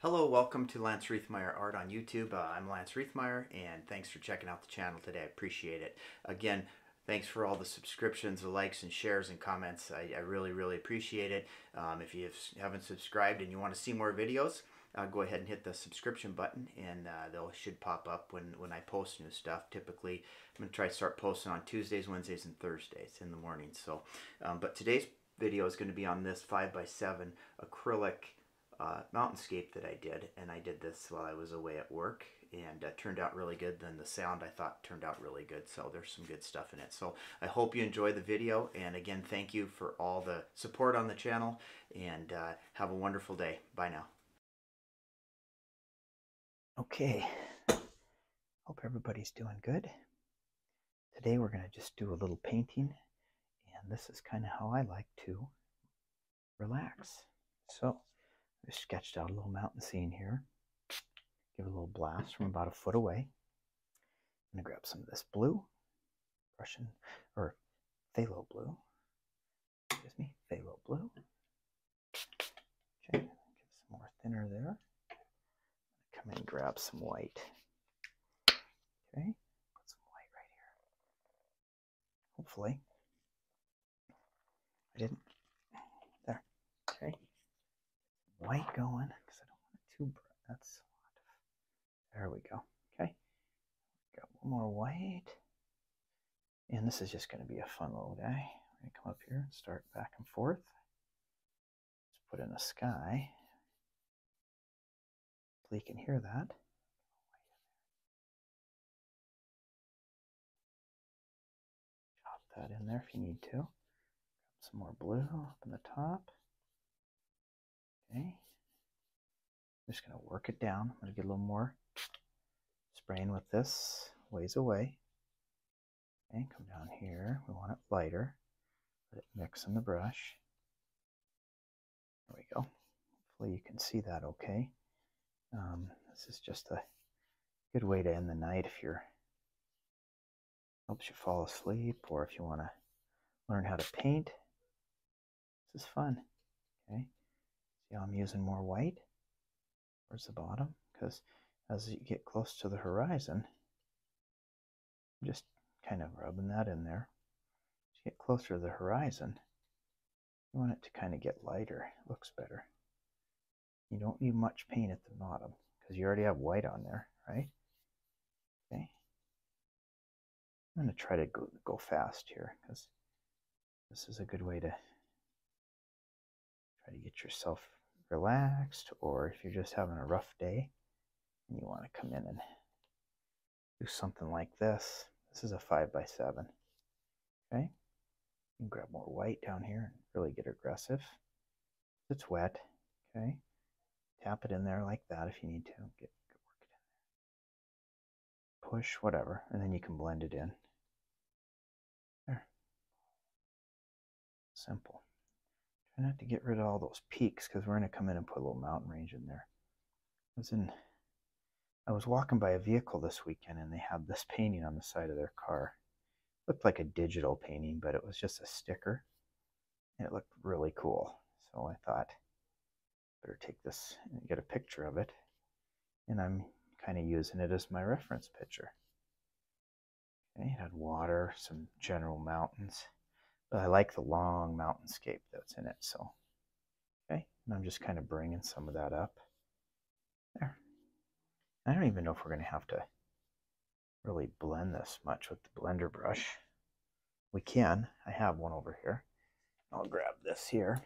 Hello, welcome to Lance Reithmeyer Art on YouTube. Uh, I'm Lance Reithmeyer, and thanks for checking out the channel today. I appreciate it. Again, thanks for all the subscriptions, the likes and shares and comments. I, really, really appreciate it. Um, if you haven't subscribed and you want to see more videos, uh, go ahead and hit the subscription button, and uh, they'll should pop up when, when I post new stuff. Typically, I'm going to try to start posting on Tuesdays, Wednesdays, and Thursdays in the morning. So, um, But today's video is going to be on this 5x7 acrylic uh, mountainscape that I did. And I did this while I was away at work and uh, turned out really good. Then the sound I thought turned out really good. So there's some good stuff in it. So I hope you enjoy the video. And again, thank you for all the support on the channel and uh, have a wonderful day. Bye now. Okay. Hope everybody's doing good. Today we're going to just do a little painting, and this is kind of how I like to relax. So I sketched out a little mountain scene here. Give a little blast from about a foot away. I'm going to grab some of this blue, Russian, or phthalo blue. Excuse me, phthalo blue. Okay, give some more thinner there come and grab some white. Okay, put some white right here. Hopefully. I didn't. There. Okay. White going because I don't want it too bright. That's a lot. There we go. Okay. Got one more white. And this is just going to be a fun little guy. I'm going to come up here and start back and forth. Let's put in a sky. Hopefully you can hear that. Chop that in there if you need to. Grab some more blue up in the top. Okay. just going to work it down. I'm going to get a little more spraying with this ways away. And come down here. We want it lighter. Let it mix in the brush. There we go. Hopefully you can see that okay. Um, this is just a good way to end the night if you're helps you fall asleep or if you want to learn how to paint. This is fun. Okay. See how I'm using more white towards the bottom? Because as you get close to the horizon, just kind of rubbing that in there. to get closer to the horizon, you want it to kind of get lighter. It looks better. You don't need much paint at the bottom because you already have white on there, right? Okay. I'm going to try to go fast here because this is a good way to try to get yourself relaxed or if you're just having a rough day, you want to come in and do something like this. This is a 5 by 7 Okay. And grab more white down here and really get aggressive. It's wet. Okay. Tap it in there like that if you need to. Get, work it in Push, whatever. And then you can blend it in. There. Simple. Try not to get rid of all those peaks because we're going to come in and put a little mountain range in there. I was I was walking by a vehicle this weekend and they had this painting on the side of their car. looked like a digital painting, but it was just a sticker. And it looked really cool. So I thought, better take this and get a picture of it. And I'm kind of using it as my reference picture. They had water, some general mountains. But I like the long mountainscape that's in it, so. Okay, I'm just kind of bringing some of that up. There. I don't even know if we're going to have to really blend this much with the blender brush. We can. I have one over here. I'll grab this here.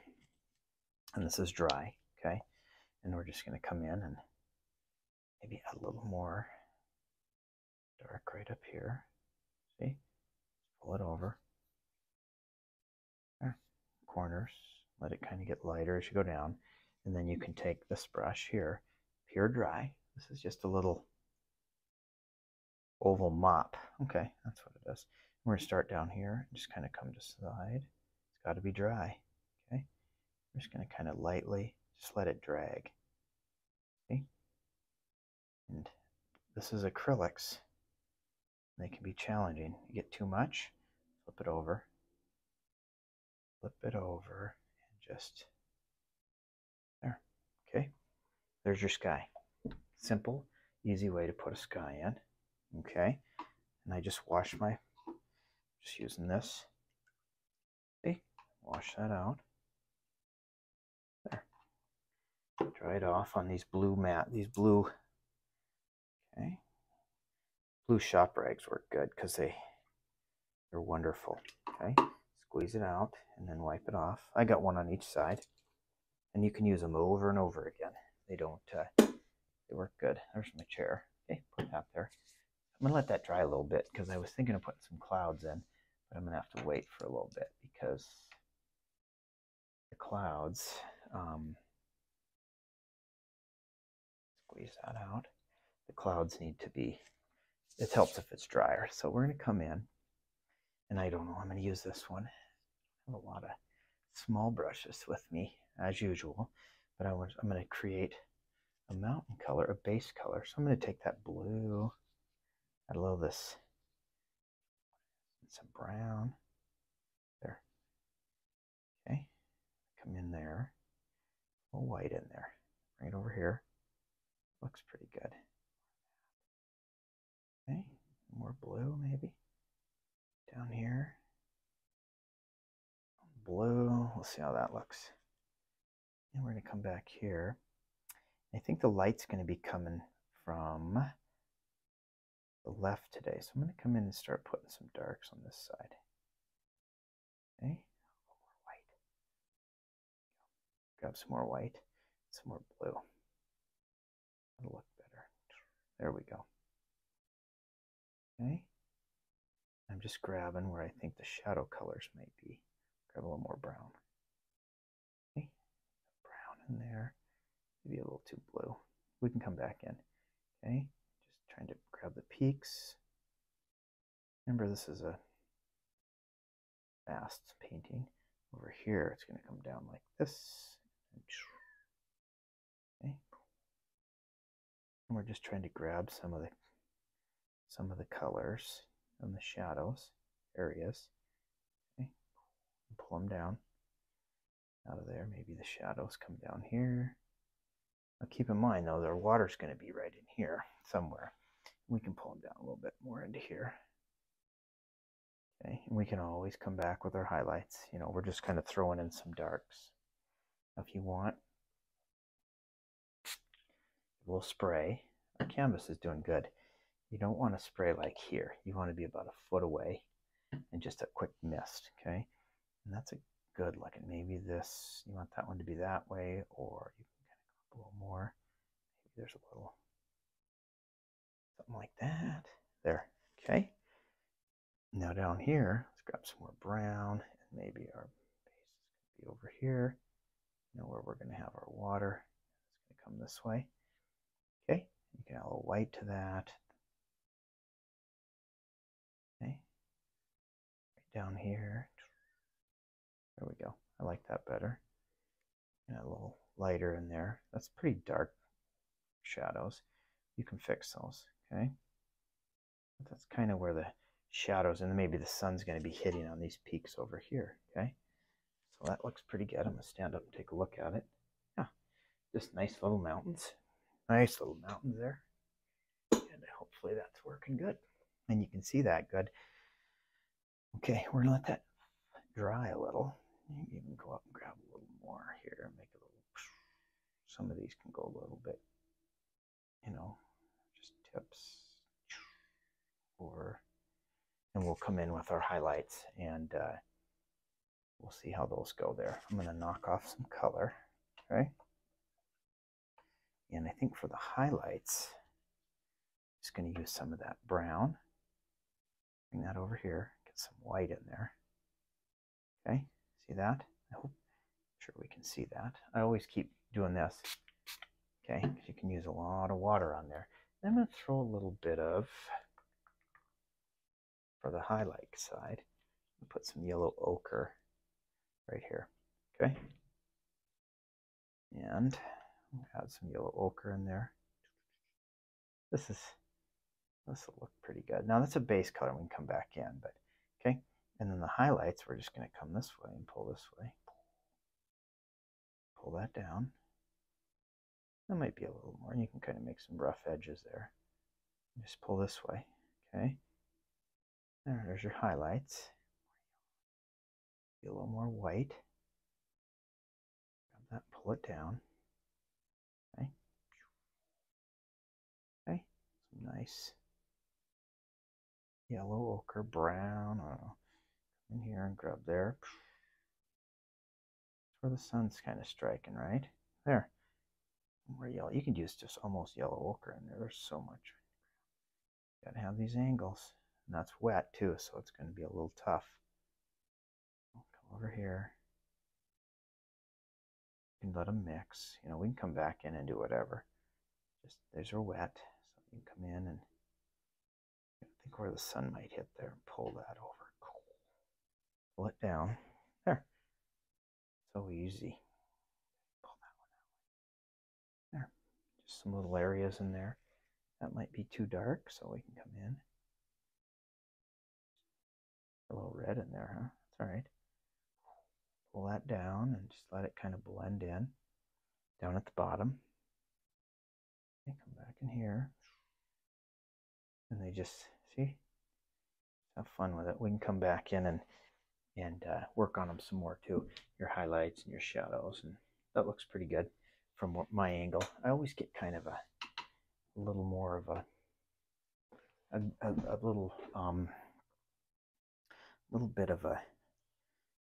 And this is dry, okay? And we're just going to come in and maybe add a little more dark right up here. See? Pull it over. There. Eh, corners. Let it kind of get lighter as you go down. And then you can take this brush here, pure dry. This is just a little oval mop. Okay, that's what it is. We're going to start down here and just kind of come to side. It's got to be dry. Okay, we're just going to kind of lightly just let it drag. Okay. And this is acrylics. They can be challenging. You get too much, flip it over. Flip it over and just there. Okay. There's your sky. Simple, easy way to put a sky in. Okay. And I just wash my, just using this See, wash that out. There. it off on these blue mat, these blue, okay. Blue shop rags work good because they, they're wonderful. Okay, squeeze it out and then wipe it off. I got one on each side and you can use them over and over again. They don't, uh, they work good. There's my chair. Okay, put that there. I'm gonna let that dry a little bit because I was thinking of putting some clouds in, but I'm gonna have to wait for a little bit because the clouds um, squeeze that out. The clouds need to be. It helps if it's drier. So we're gonna come in, and I don't know. I'm gonna use this one. I have a lot of small brushes with me as usual, but I want, I'm gonna create a mountain color, a base color. So I'm going to take that blue. a little this. It's a brown. There. Okay. Come in there. A little white in there. Bring it over here. Looks pretty good. Okay. More blue, maybe. Down here blue. We'll see how that looks. And we're going to come back here. I think the light's going to be coming from the left today. So I'm going to come in and start putting some darks on this side. Okay, more white. Grab some more white, some more blue. That'll look better. There we go. Okay. I'm just grabbing where I think the shadow colors might be. Grab a little more brown. Okay. Brown in there. Maybe a little too blue. We can come back in. Okay. Just trying to grab the peaks. Remember, this is a fast painting. Over here, it's going to come down like this we're just trying to grab some of the some of the colors and the shadows areas. Okay. Pull them down out of there. Maybe the shadows come down here. Now keep in mind though, their water's going to be right in here somewhere. We can pull them down a little bit more into here. Okay, and we can always come back with our highlights. You know, we're just kind of throwing in some darks. If you want, We'll spray. Our canvas is doing good. You don't want to spray like here. You want to be about a foot away and just a quick mist, okay? And that's a good look. looking. Maybe this, you want that one to be that way, or you can kind of go a little more. Maybe there's a little, something like that. There, okay? Now down here, let's grab some more brown, and maybe our base is be over here. Know where we're going to have our water. It's going to come this way. Okay, you can add a little white to that. Okay, right down here. There we go. I like that better. And a little lighter in there. That's pretty dark shadows. You can fix those. Okay. That's kind of where the shadows and maybe the sun's going to be hitting on these peaks over here. Okay. So that looks pretty good. I'm going to stand up and take a look at it. Yeah. Just nice little mountains. Nice little mountains there. And hopefully that's working good. And you can see that good. Okay. We're going to let that dry a little. You can even go up and grab a little more here make a little. Some of these can go a little bit you know, just tips or, and we'll come in with our highlights and uh, we'll see how those go there. I'm going to knock off some color, right? And I think for the highlights, I'm just going to use some of that brown. Bring that over here, get some white in there. Okay, see that? I hope, sure we can see that. I always keep doing this, okay, you can use a lot of water on there. I'm going to throw a little bit of, for the highlight side, put some yellow ochre right here, okay? And add some yellow ochre in there. This is, this will look pretty good. Now that's a base color, we can come back in, but okay. And then the highlights, we're just going to come this way and pull this way. Pull that down. That might be a little more. You can kind of make some rough edges there. Just pull this way. Okay. there's your highlights. Be a little more white. Grab that, pull it down. Okay. Okay, some nice yellow, ochre, brown. Come in here and grab there. where the sun's kind of striking, right? There. More yellow. You can use just almost yellow ochre in there. There's so much. Gotta have these angles. And that's wet too, so it's gonna be a little tough. come over here. You can let them mix. You know, we can come back in and do whatever. Just these are wet, so you can come in and think where the sun might hit there and pull that over. Cool. Pull it down. There. So easy. Pull that one out. There. Just some little areas in there. That might be too dark, so we can come in. A little red in there, huh? It's all right. Pull that down and just let it kind of blend in down at the bottom. And come back in here. And they just, see? Have fun with it. We can come back in and and uh, work on them some more too. Your highlights and your shadows, and that looks pretty good from my angle. I always get kind of a, a little more of a, a little um, little bit of a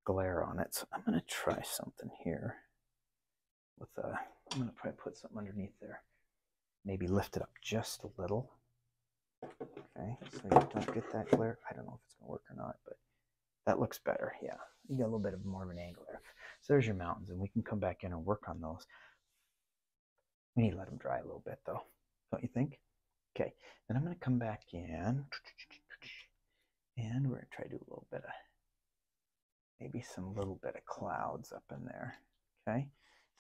glare on it. So I'm going to try something here with a, uh, I'm going to probably put something underneath there. Maybe lift it up just a little. Okay, so you don't get that glare. I don't know if it's going to work or not, but that looks better. Yeah, you get a little bit of more of an angle there. So there's your mountains, and we can come back in and work on those. We need to let them dry a little bit though, don't you think? Okay, then I'm going to come back in and we're going to try to do a little bit of maybe some little bit of clouds up in there. Okay,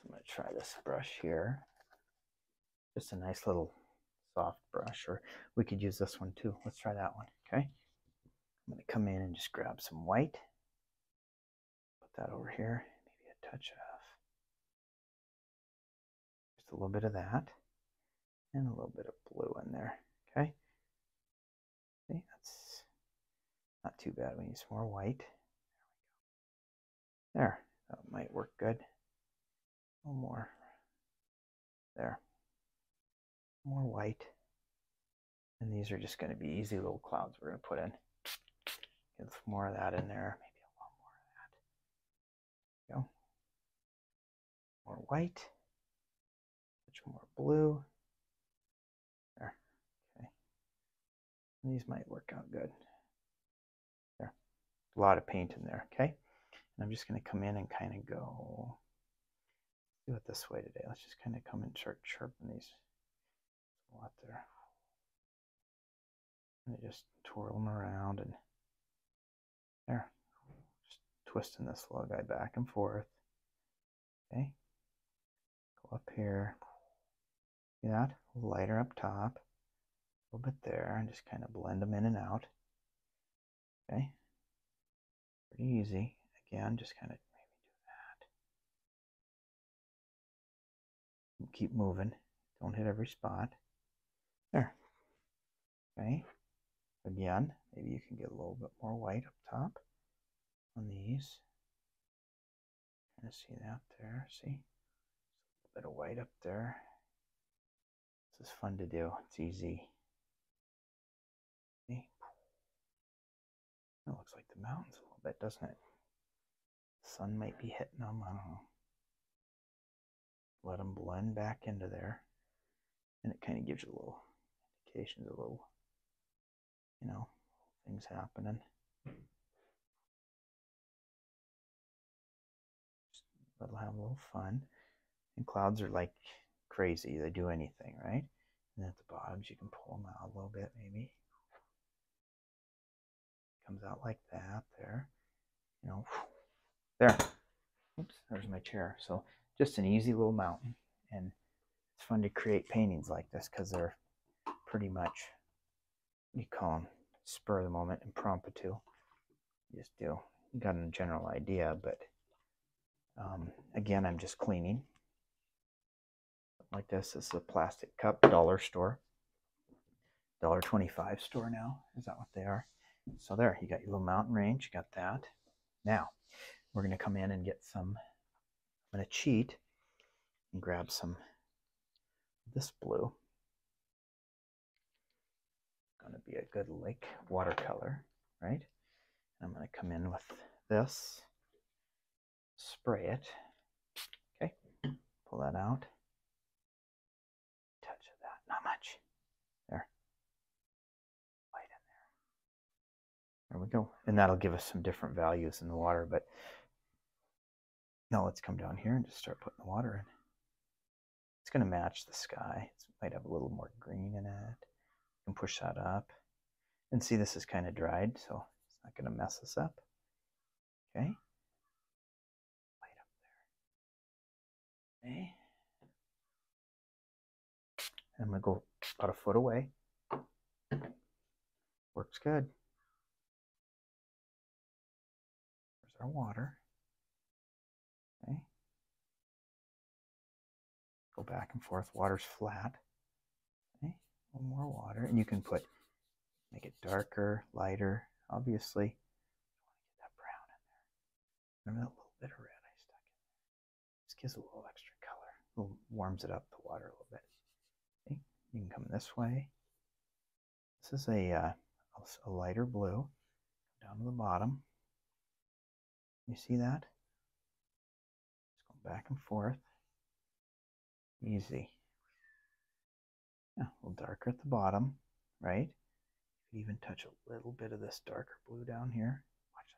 so I'm going to try this brush here. Just a nice little soft brush, or we could use this one too. Let's try that one. Okay, I'm going to come in and just grab some white Put that over here, maybe a touch of just a little bit of that and a little bit of blue in there. Okay. See, that's not too bad. We need some more white. There we go. There, that might work good. A little more. There. More white. And these are just going to be easy little clouds we're going to put in. Get some more of that in there. Maybe a little more of that. go. More white. Much more blue. There. Okay. These might work out good. There. A lot of paint in there. Okay. And I'm just going to come in and kind of go do it this way today. Let's just kind of come in and start chirping these there's a there. And just twirl them around and there. Just twisting this little guy back and forth. Okay. Go up here. See that? Lighter up top. A little bit there and just kind of blend them in and out. Okay. Pretty easy. Again, just kind of maybe do that. Keep moving. Don't hit every spot. There. Okay. Again, maybe you can get a little bit more white up top on these. see that there. See? A bit of white up there. This is fun to do. It's easy. See? It looks like the mountains a little bit, doesn't it? Sun might be hitting them. I don't know. Let them blend back into there. And it kind of gives you a little indication, of little, you know, things happening. Just let them have a little fun. And clouds are like crazy. They do anything, right? And at the bottoms, you can pull them out a little bit, maybe. Comes out like that there. You know, there. Oops, there's my chair. So just an easy little mountain. And it's fun to create paintings like this because they're pretty much, what do you call them spur of the moment, impromptu. You just do. got a general idea, but um, again, I'm just cleaning like this. This is a plastic cup, dollar store. Dollar twenty-five store now. Is that what they are? So there, you got your little mountain range, you got that. Now, we're gonna come in and get some, I'm gonna cheat and grab some this blue. Gonna be a good lake watercolor, right? I'm gonna come in with this spray it. Okay, pull that out. Touch of that, not much. There. Light in there. There we go. And that'll give us some different values in the water, but now let's come down here and just start putting the water in. It's going to match the sky. It might have a little more green in it. You can push that up. And see, this is kind of dried, so it's not going to mess us up. Okay. Light up there. Okay. I'm going to go about a foot away. Works good. There's our water. Okay. Go back and forth. Water's flat. Okay, a more water, and you can put make it darker, lighter, obviously. Remember that little bit of red I stuck in there? Just gives a little extra color. A warms it up the water a little bit. you can come this way. This is a, uh, a lighter blue. Down to the bottom. You see that? It's going back and forth. Easy. Yeah, a little darker at the bottom, right? You Even touch a little bit of this darker blue down here. Watch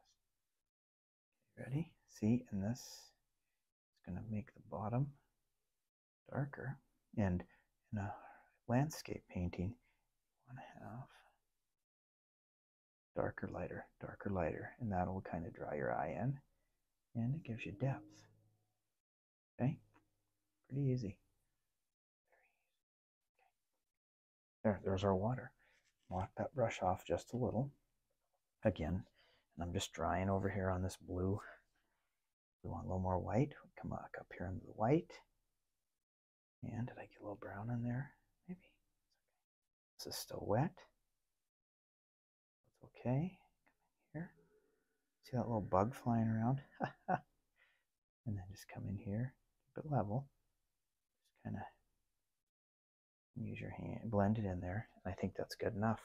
this. Ready? See, and this is going to make the bottom darker. And in a landscape painting, you want to have darker, lighter, darker, lighter, and that'll kind of draw your eye in and it gives you depth. Okay, pretty easy. There, there's our water. Lock that brush off just a little. Again, and I'm just drying over here on this blue. We want a little more white. We come up up here into the white. And did I get a little brown in there? Maybe. This is still wet. That's okay. Come in here. See that little bug flying around? and then just come in here, keep it level. Just kind of use your hand, blend it in there. I think that's good enough.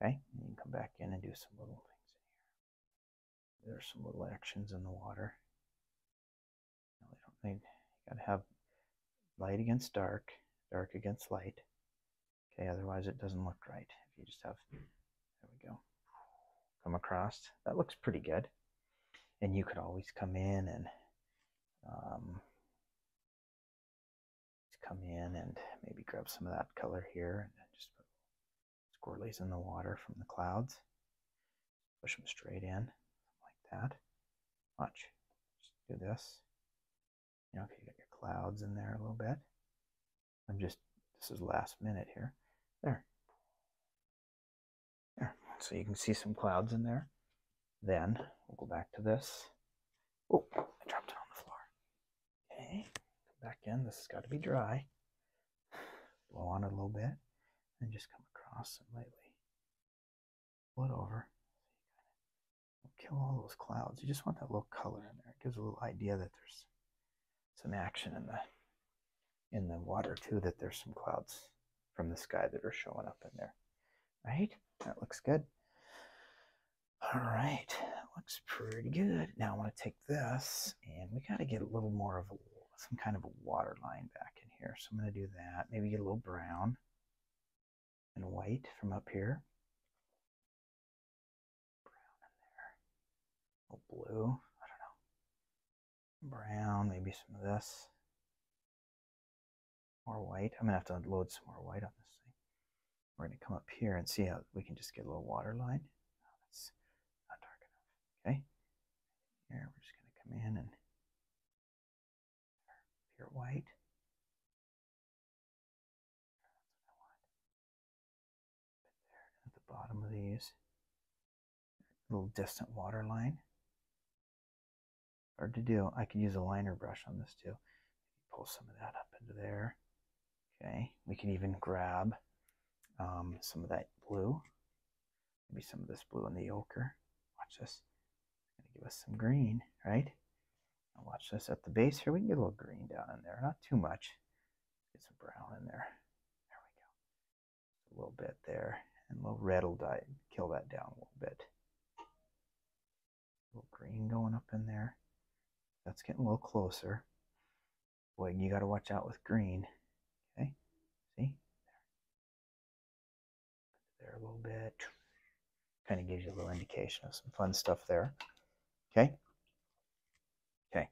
Okay, and you can come back in and do some little things in here. There's some little actions in the water. No, they don't need, you gotta have light against dark, dark against light. Okay, otherwise it doesn't look right. If you just have, there we go, come across. That looks pretty good. And you could always come in and um, come in and maybe grab some of that color here and just put squirrelies in the water from the clouds. Push them straight in like that. Watch. Just do this. You know, if you got your clouds in there a little bit. I'm just, this is last minute here. There. There. So you can see some clouds in there. Then we'll go back to this. Oh, I dropped it on the floor. Okay, back in. This has got to be dry. Blow on it a little bit and just come across it lightly split over. Kill all those clouds. You just want that little color in there. It gives a little idea that there's some action in the in the water too. That there's some clouds from the sky that are showing up in there. Right? That looks good. All right, looks pretty good. Now I want to take this and we got to get a little more of some kind of a water line back in here. So I'm going to do that. Maybe get a little brown and white from up here. Brown in there. A oh, blue. I don't know. Brown, maybe some of this. More white. I'm going to have to load some more white on this thing. We're going to come up here and see how we can just get a little water line. Oh, that's not dark enough. Okay. Here, we're just going to come in and pure white. There, at the bottom of these, little distant water line. Hard to do. I could use a liner brush on this too. Pull some of that up into there. Okay, we can even grab um, some of that blue. Maybe some of this blue in the ochre. Watch this. going to give us some green, right? watch this at the base here. We can get a little green down in there, not too much. Get some brown in there. There we go. A little bit there. And a little red will die, kill that down a little bit. little green going up in there. That's getting a little closer. Boy, you got to watch out with green. Okay, see? There there a little bit. Kind of gives you a little indication of some fun stuff there. Okay. Okay.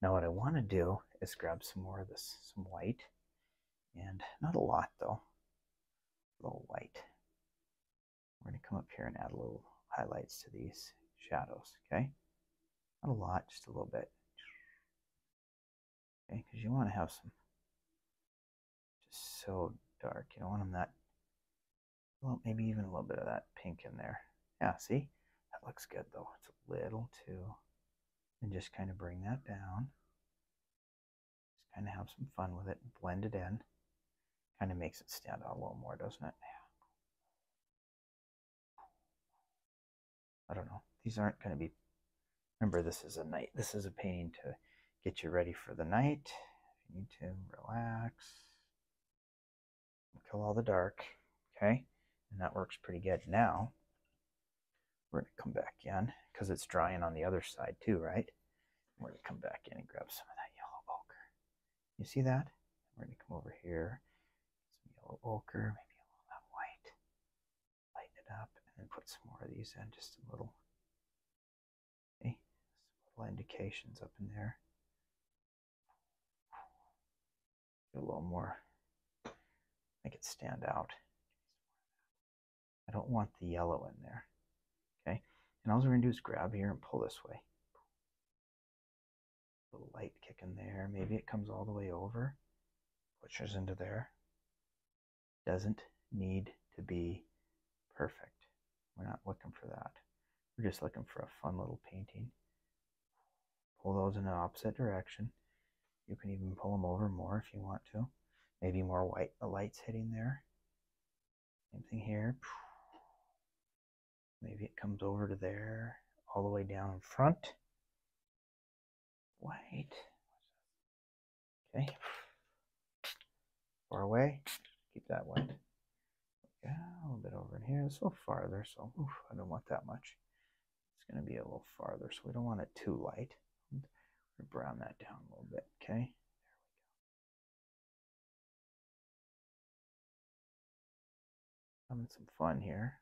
Now what I want to do is grab some more of this, some white, and not a lot though, a little white. We're going to come up here and add a little highlights to these shadows. Okay. Not a lot, just a little bit. Okay, because you want to have some just so dark. You don't want them that. Well, maybe even a little bit of that pink in there. Yeah, see? That looks good though. It's a little too. And just kind of bring that down. Just kind of have some fun with it and blend it in. Kind of makes it stand out a little more, doesn't it? Yeah. I don't know. These aren't going to be. Remember, this is a night. This is a painting to get you ready for the night. you need to relax, kill all the dark. Okay, and that works pretty good. Now we're gonna come back in because it's drying on the other side too, right? We're gonna come back in and grab some of that yellow ochre. You see that? We're gonna come over here, some yellow ochre, maybe a little of white, lighten it up, and then put some more of these in, just a little Okay, little indications up in there. Get a little more, make it stand out. I don't want the yellow in there. Okay, and all we're going to do is grab here and pull this way. A little light kicking there. Maybe it comes all the way over, pushes into there doesn't need to be perfect. We're not looking for that. We're just looking for a fun little painting. Pull those in the opposite direction. You can even pull them over more if you want to. Maybe more white The uh, lights hitting there. Same thing here. Maybe it comes over to there, all the way down in front. White. Okay. Far away. Keep that one. Yeah, a little bit over in here. It's a little farther, so I don't want that much. It's going to be a little farther, so we don't want it too light. We're brown that down a little bit, okay? There we go. Having some fun here.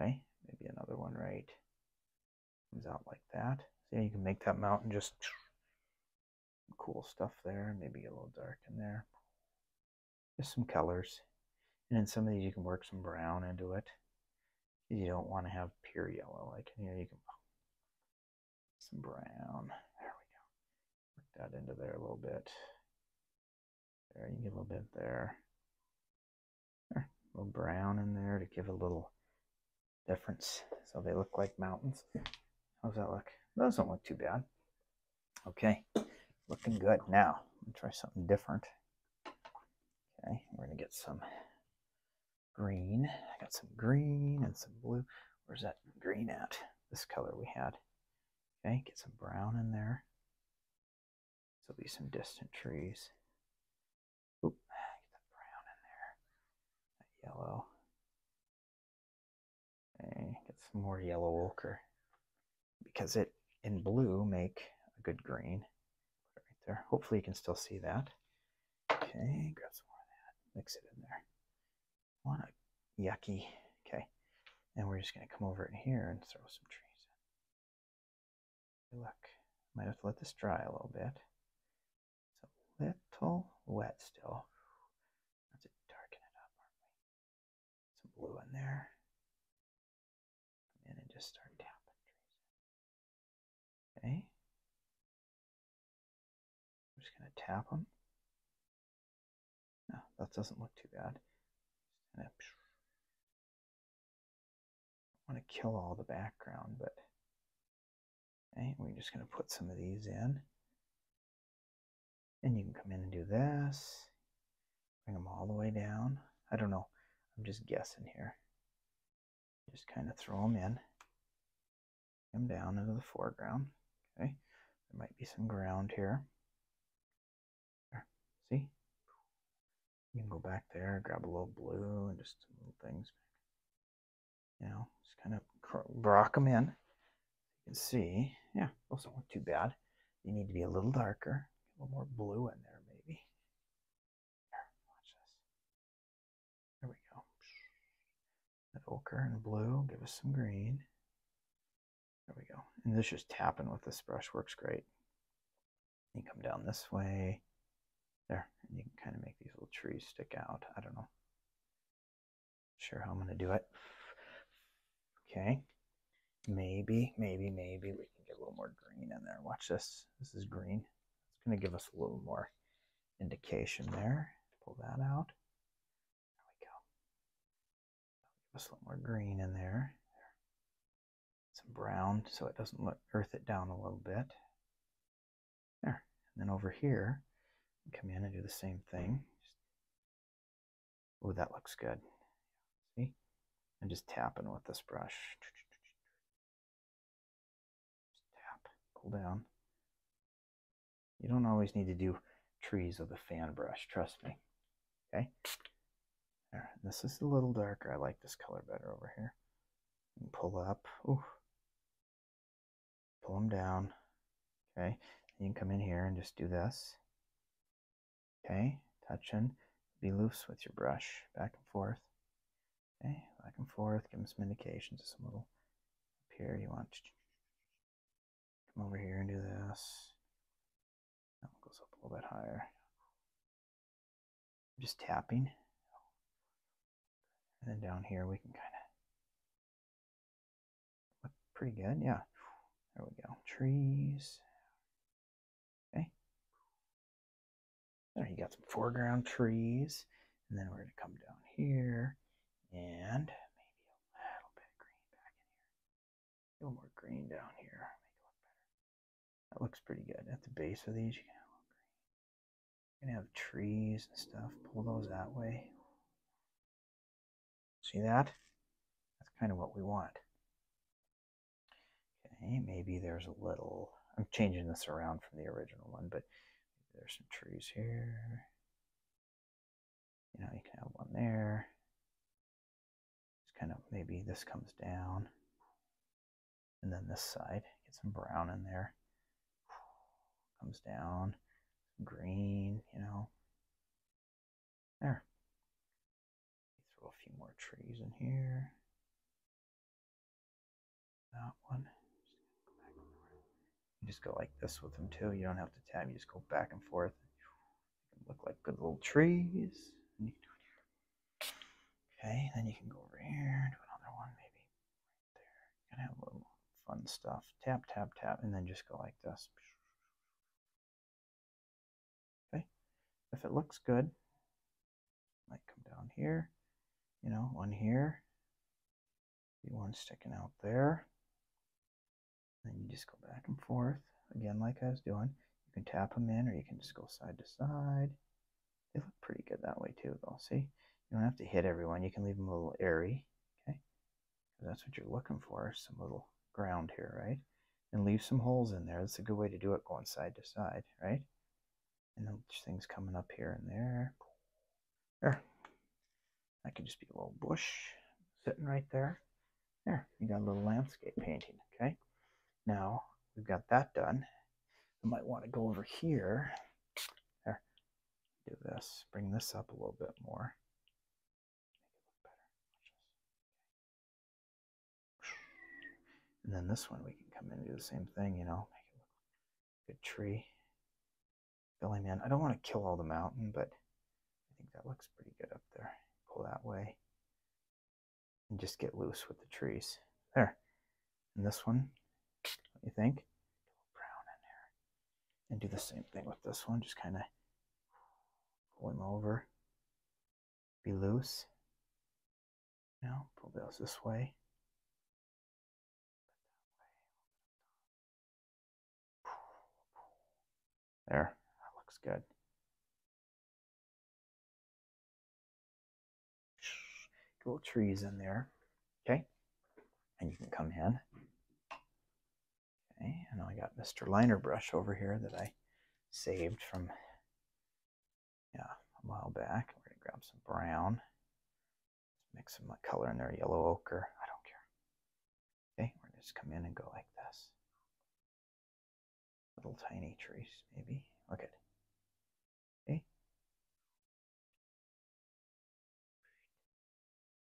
Okay, maybe another one right comes out like that. See, you can make that mountain just cool stuff there. Maybe a little dark in there. Just some colors. And in some of these, you can work some brown into it. You don't want to have pure yellow. Like you know. you can some brown. There we go. Work that into there a little bit. There, you get a little bit there. there. A little brown in there to give a little difference. So they look like mountains. How's that look? does not look too bad. Okay, looking good. Now, I'm try something different. Okay, we're gonna get some green. I got some green and some blue. Where's that green at? This color we had. Okay, get some brown in there. There'll be some distant trees get that brown in there, that yellow. Okay, get some more yellow ochre because it and blue make a good green. Put it right there. Hopefully you can still see that. Okay, grab some more of that, mix it in there. Want a yucky. Okay, and we're just gonna come over in here and throw some trees in look, might have to let this dry a little bit. It's a little wet still. Let's darken it up, Some blue in there. Come in and just start tapping Okay. I'm just going to tap them. No, that doesn't look too bad. I want to kill all the background, but we're just going to put some of these in. And you can come in and do this. Bring them all the way down. I don't know. I'm just guessing here. Just kind of throw them in. Come down into the foreground. Okay. There might be some ground here. See? You can go back there, grab a little blue and just some little things you know, just kind of rock them in. You can see, yeah, those don't look too bad. They need to be a little darker, a little more blue in there maybe. Here, there we go. That ochre and blue, give us some green. There we go. And this just tapping with this brush works great. You come down this way. There, and you can kind of make these little trees stick out. I don't know. Sure how I'm going to do it. Okay. Maybe, maybe, maybe we can get a little more green in there. Watch this. This is green. It's going to give us a little more indication there. Pull that out. There we go. Give us a little more green in there. there. Some brown so it doesn't look earth it down a little bit. There. And then over here, come in and do the same thing. Oh, that looks good. See? I'm just tapping with this brush. tap, pull down. You don't always need to do trees with a fan brush, trust me. Okay? this is a little darker. I like this color better over here. And pull up. Pull them down. Okay. you can come in here and just do this. Okay. Touching. Be loose with your brush. Back and forth. Okay. Back and forth. Give them some indications. Some little up here. You want to come over here and do this. That one goes up a little bit higher just tapping. And then down here we can kind of look pretty good. Yeah. There we go. Trees. Okay. There you got some foreground trees. And then we're going to come down here and maybe a little bit of green back in here. A little more green down here. That looks pretty good. At the base of these, you can have, trees and stuff. Pull those that way. See that? That's kind of what we want. Okay, maybe there's a little... I'm changing this around from the original one, but there's some trees here. You know, you can have one there. It's kind of, maybe this comes down. And then this side, get some brown in there. Comes down, green, you know. There. Throw a few more trees in here. That one. You just go like this with them too. You don't have to tap. You just go back and forth. look like good little trees. Okay, then you can go over here, do another one maybe right there. You can have a little fun stuff. Tap, tap, tap, and then just go like this. Okay, if it looks good, might come down here, you know, one here, be one sticking out there. Then you just go back and forth again, like I was doing. You can tap them in, or you can just go side to side. They look pretty good that way too, though. See, you don't have to hit everyone. You can leave them a little airy, okay? That's what you're looking for, some little ground here, right? And leave some holes in there. That's a good way to do it, going side to side, right? And then things coming up here and there. There. That could just be a little bush sitting right there. There, you got a little landscape painting, okay? Now we've got that done. I might want to go over here. There, do this, bring this up a little bit more. And then this one, we can come in and do the same thing, you know, make it look good tree. filling in. I don't want to kill all the mountain, but I think that looks pretty good up there. Pull that way and just get loose with the trees. There. And this one, what you think? And do the same thing with this one, just kind of pull him over. Be loose. Now, pull those this way. There, that looks good little trees in there. Okay. And you can come in. Okay. And I got Mr. Liner Brush over here that I saved from, yeah, a while back. We're going to grab some brown. Mix some color in there, yellow ochre. I don't care. Okay. We're just come in and go like this. Little tiny trees, maybe. Look at Okay.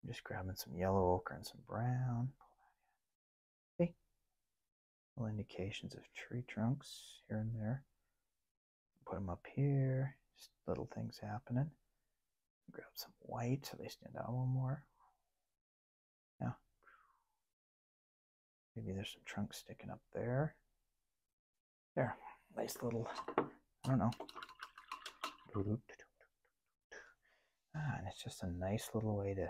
I'm just grabbing some yellow ochre and some brown. Okay. Little indications of tree trunks here and there. Put them up here. Just little things happening. Grab some white so they stand out a little more. Now, Maybe there's some trunk sticking up there. There, nice little, I don't know. Ah, and it's just a nice little way to,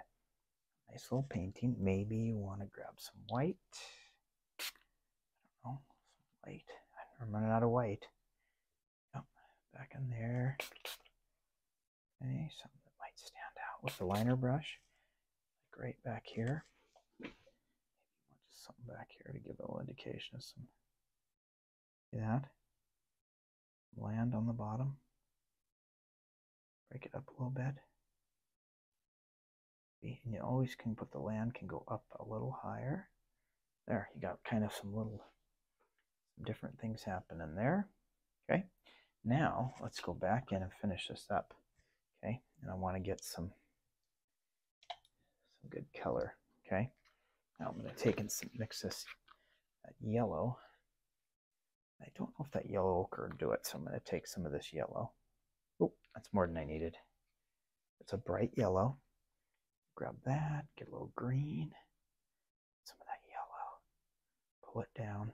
nice little painting. Maybe you want to grab some white. I don't know, white. I'm running out of white. Yep, back in there. Okay, something that might stand out with the liner brush like right back here. Maybe just something back here to give a little indication of some that land on the bottom. Break it up a little bit. And you always can put the land can go up a little higher. There, you got kind of some little some different things happening there. Okay. Now let's go back in and finish this up. Okay, and I want to get some, some good color. Okay, now I'm going to take and mix this uh, yellow. I don't know if that yellow ochre will do it, so I'm going to take some of this yellow. Oh, that's more than I needed. It's a bright yellow. Grab that, get a little green, some of that yellow, pull it down,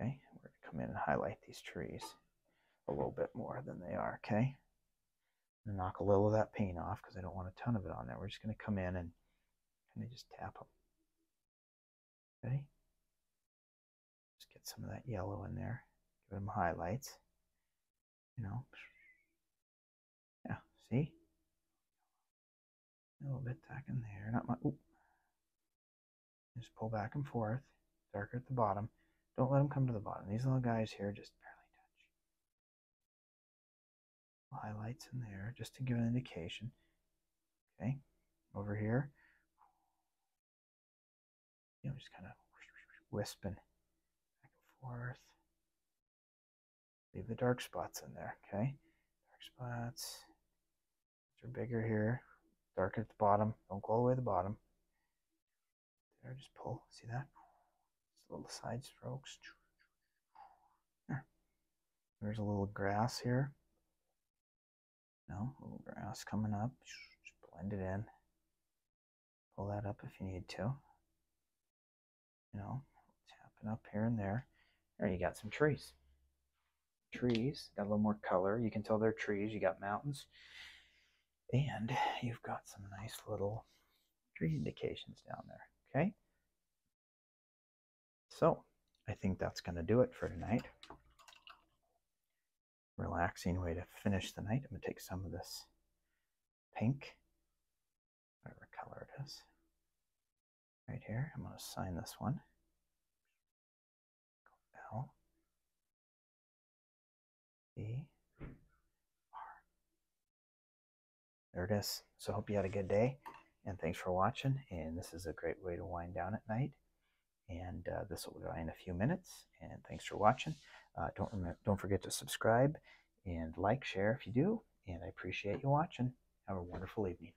Okay, we're going to come in and highlight these trees a little bit more than they are, okay? knock a little of that paint off because I don't want a ton of it on there. We're just going to come in and kind of just tap them. Okay? Just get some of that yellow in there. Give them highlights. You know. Yeah, see? A little bit tacking there. Not my. Just pull back and forth, darker at the bottom. Don't let them come to the bottom. These little guys here just barely touch. Highlights in there just to give an indication. Okay, over here. You know, just kind of wisping back and forth. Leave the dark spots in there, okay? Dark spots. These are bigger here. Darken at the bottom. Don't go all the way to the bottom. There, just pull. See that? Just little side strokes. There. There's a little grass here. No, little grass coming up. Just blend it in. Pull that up if you need to. You know, tapping up here and there. There you got some trees trees. Got a little more color. You can tell they're trees. You got mountains. And you've got some nice little tree indications down there. Okay. So I think that's going to do it for tonight. Relaxing way to finish the night. I'm going to take some of this pink, whatever color it is, right here. I'm going to sign this one. L E R. There it is. So hope you had a good day, and thanks for watching. And this is a great way to wind down at night. And uh, this will go in a few minutes. And thanks for watching. Uh, don't don't forget to subscribe and like, share if you do. And I appreciate you watching. Have a wonderful evening.